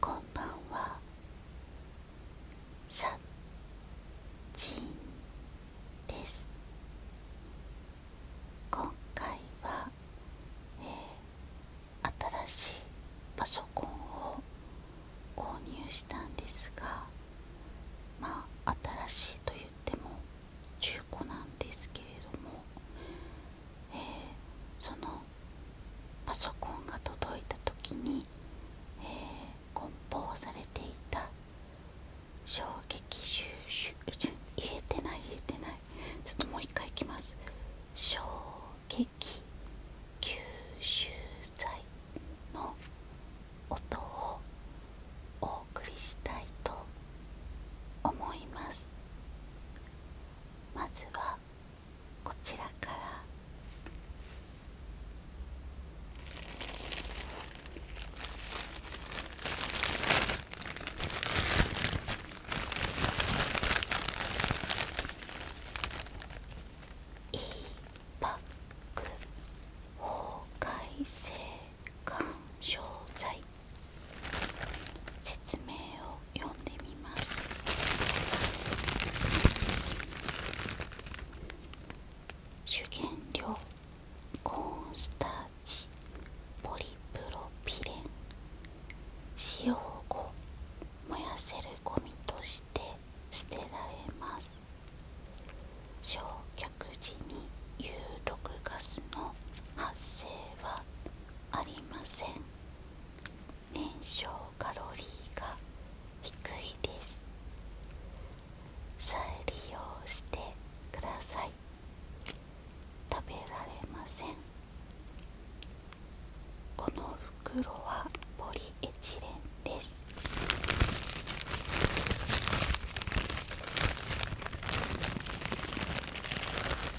こんばんはさちんです今回は、新しいパソコンを購入したんですがまあ新しいと言っても中古なんですけれどもえそのパソコンが届いた時に、え梱包されていた衝撃収集言えてない言えてないちょっともう一回いきます衝撃吸収剤の音をお送りしたいと思いますまずはこちらからいいバック法改正緩衝材説明を読んでみます主原料コーンスターチポリプロピレン使用後燃やせるゴミとして捨てられます焼却時に有毒ガスの発生はありません燃焼カロリーが低いです再利用してください食べられませんこの袋はポリエチレンです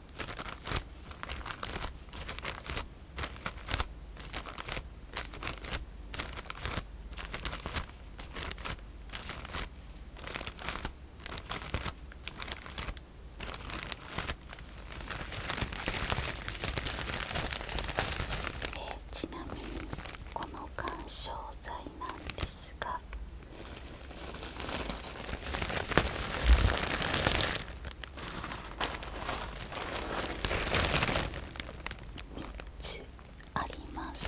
え、ちなみにこの緩衝材なんですがつあります。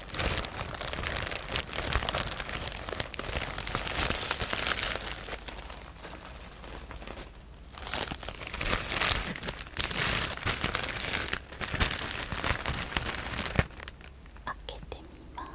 開けてみます。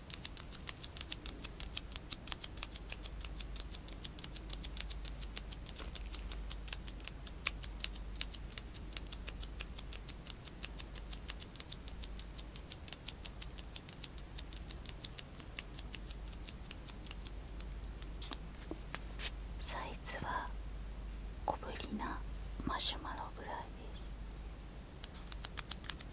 サイズは小ぶりなマシュマロぐらいです。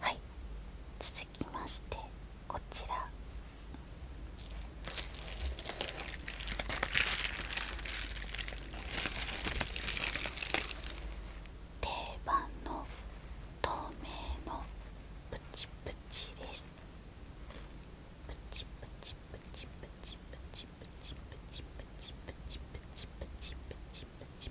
はい続きましてこちら定番の透明のプチプチですプチプチプチプチプチプチプチプチプチプチプチプチプチプチプチプチ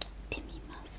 切ってみます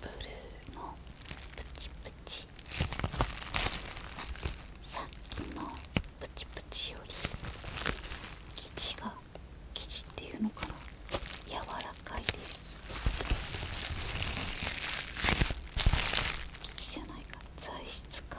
ブルーのプチプチさっきのプチプチより生地が生地っていうのかな柔らかいです生地じゃないか材質か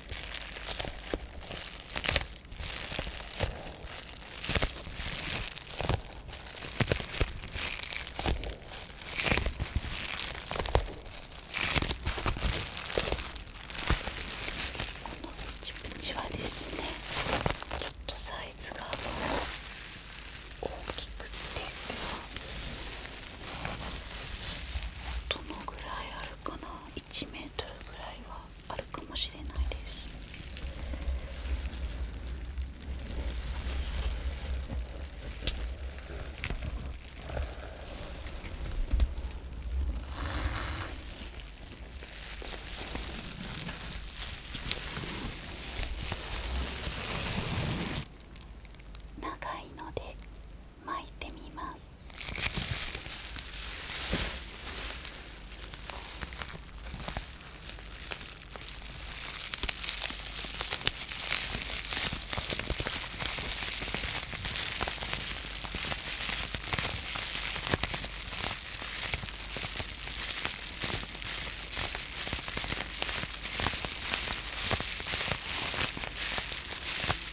チプチはですねちょっとサイズが大きくてどのぐらいあるかな1メートルぐらいはあるかもしれないです長いので巻いてみます。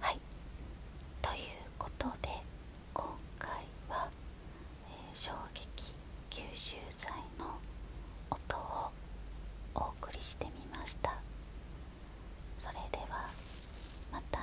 はいということで今回は、衝撃吸収歳の音をお送りしてみましたそれではまた